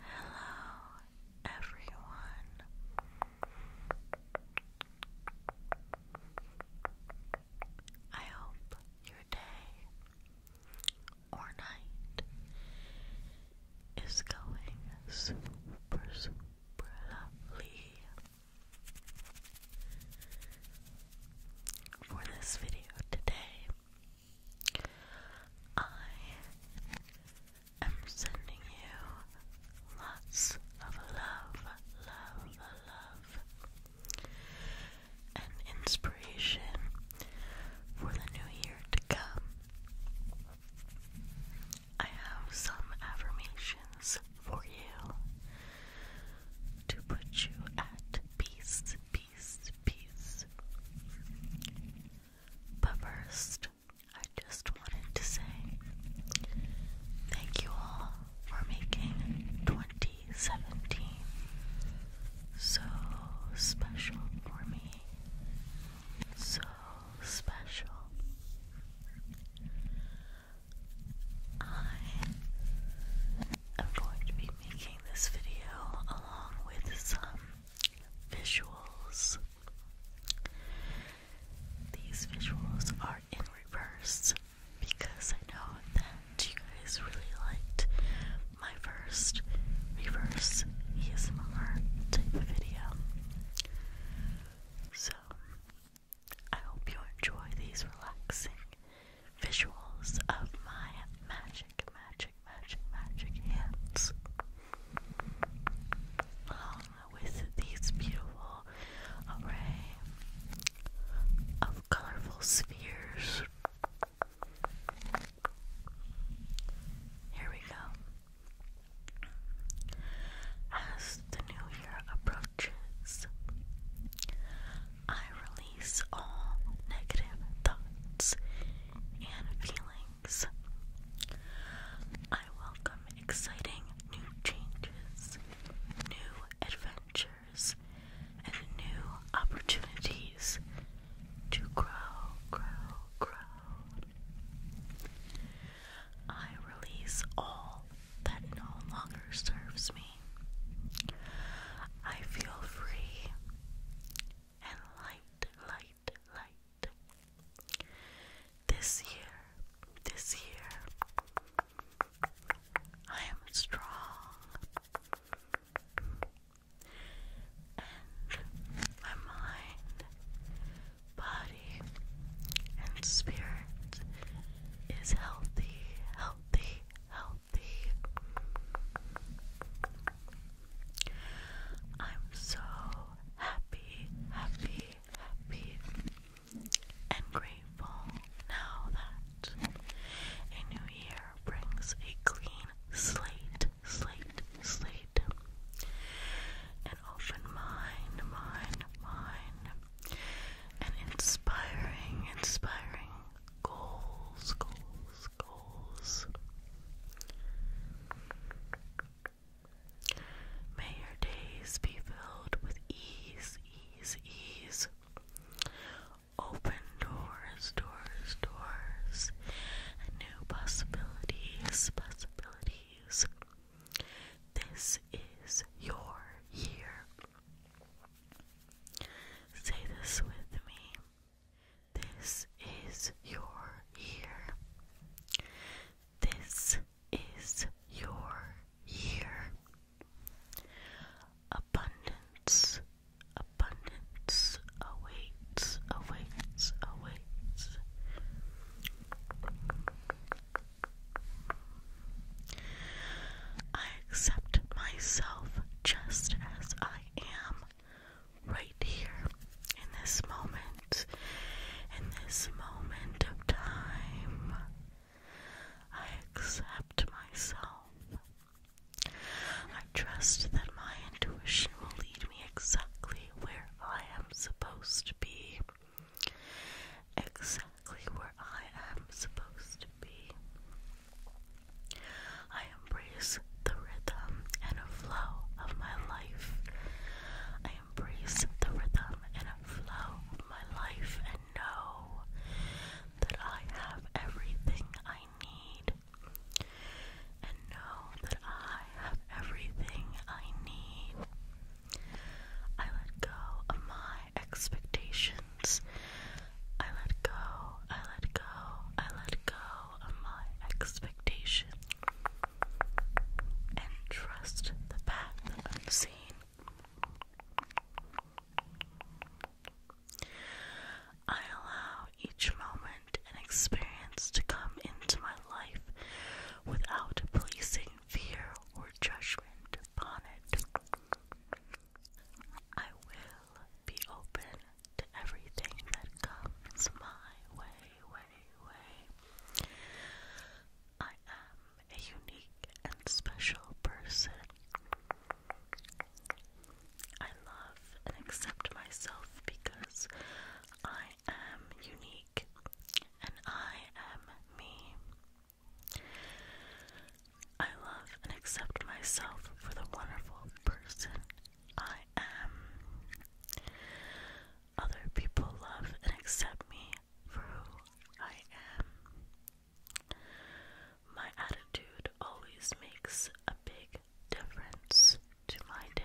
Hello, everyone. I hope your day or night is going super, super For this video today, I am sending you lots of love, love, love, and inspiration for the new year to come. I have some affirmations for you to put you at peace peace, peace. But first, I just wanted to say thank you all for making 2017 so special for me. So special. I I'm going to be making this video along with some visuals. These visuals are in reverse because I know that you guys really liked my first reverse ESMR type of video. So I hope you enjoy these relaxing visuals of my magic, magic, magic, magic hands. Along with these beautiful array of colorful spheres. Here we go. As the new year approaches, I release all negative thoughts and feelings. I welcome exciting new changes, new adventures, and new opportunities to grow, grow, grow. I release all that no longer serves me me. I feel free and light, light, light. This year, this year, I am strong and my mind, body, and spirit is healthy, healthy, healthy. I'm so happy, happy, happy, and grateful now that a new year brings a clean slate, slate, slate, an open mind, mind, mind, an inspiring, inspiring goals, goals, goals. May your days be filled with ease, ease, ease. Open doors, doors, doors, new possibilities, possibilities. This is your year. Say this with me. This is your year. This is your year. Abundance, abundance awaits, awaits, awaits. I accept myself just as I am right here in this moment, in this moment of time. I accept myself. I trust that my intuition will lead me exactly where I am supposed to be exactly where I am supposed to be. I embrace the rhythm and flow of my life. I embrace the rhythm and flow of my life and know that I have everything I need. And know that I have everything I need. I let go of my expectations. I let go, I let go, I let go of my expectations and trust the path unseen. I allow each moment and experience to come into my life without placing fear or judgment bonnet. I will be open to everything that comes my way, way, way. I am a unique and special person. I love and accept myself because I am unique and I am me. I love and accept myself for the wonderful person I am. Other people love and accept me for who I am. My attitude always makes a big difference to my day.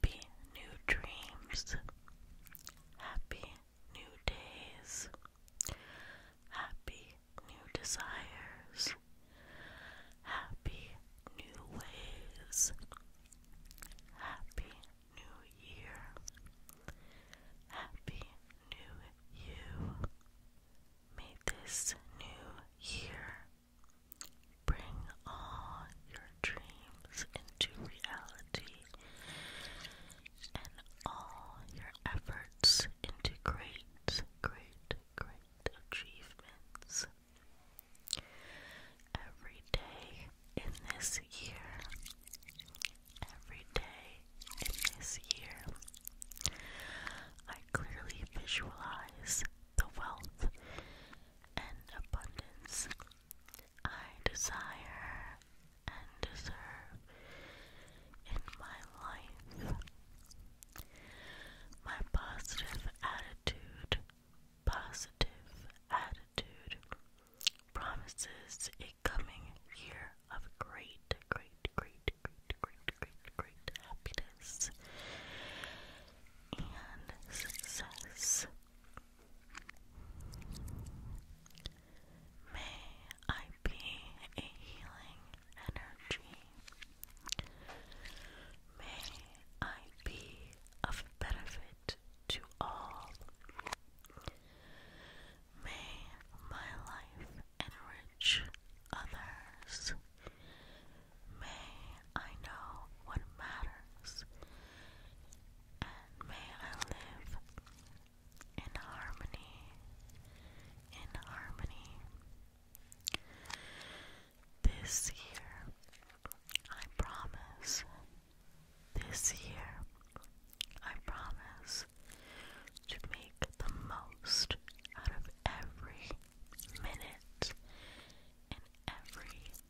Happy new dreams. Happy new days. Happy new desires. Happy new ways. Happy new year. Happy new you. May this new year Bring all your dreams into reality and all your efforts into great, great, great achievements. Every day in this year, every day in this year, I clearly visualize the wealth and abundance I desire and deserve in my life. My positive attitude, positive attitude promises a coming year of great, great, great, great, great, great, great happiness and success. May I be a healing energy. May I be of benefit to all. May my life enrich others. May I know what matters, and may I live in harmony, in harmony. This year, I promise, this year, I promise to make the most out of every minute and every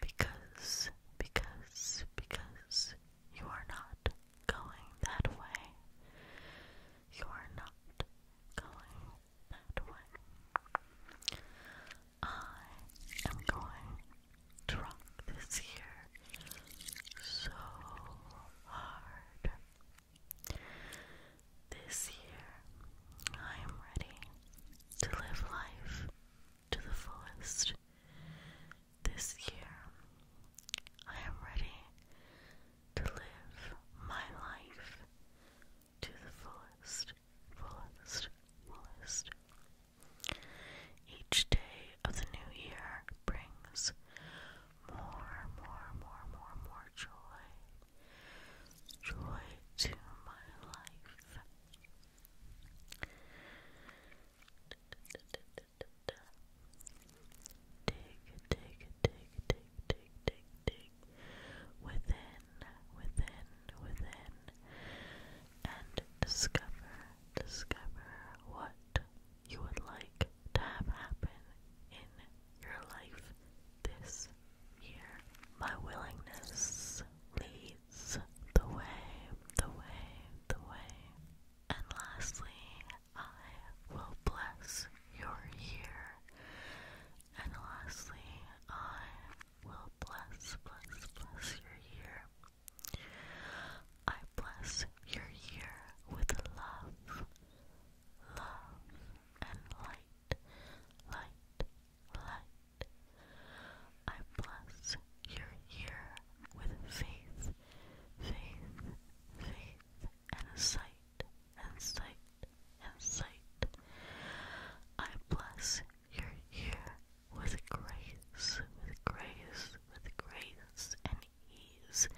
because, because, because you are not going that way. You are not going that way. I am going drunk this year so hard. This year, I am ready to live life to the fullest. This year, I am ready to live my life to the fullest, fullest, fullest. Each day of the new year brings more, more, more, more, more joy. Joy to my life. Dig, dig, dig, dig, dig, dig, dig within, within, within, and discover, discover what you would like to have happen in your life this year. My willingness leads is the way, the way, the way. And lastly, I will bless your year. And lastly, I will bless, bless, bless your year. I bless your year with love, love, and light, light, light. I bless your ear with faith, faith, faith, and a sight, and sight, and sight. I bless your ear with grace, with grace, with grace, and ease,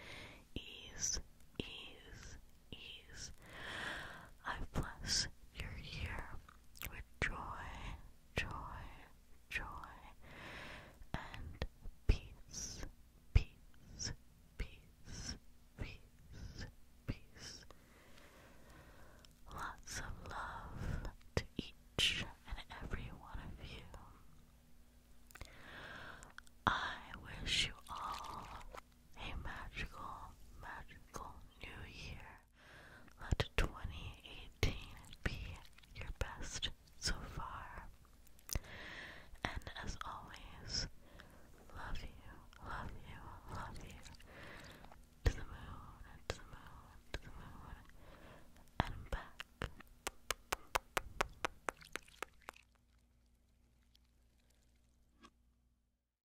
ease, ease, ease. I bless your ear with joy, joy, joy, and peace, peace, peace, peace, peace. Lots of love to each and every one of you. I wish you all a magical, magical new year. Let 2018 be your best so far. And as always, love you, love you, love you. To the moon, to to the moon, and back.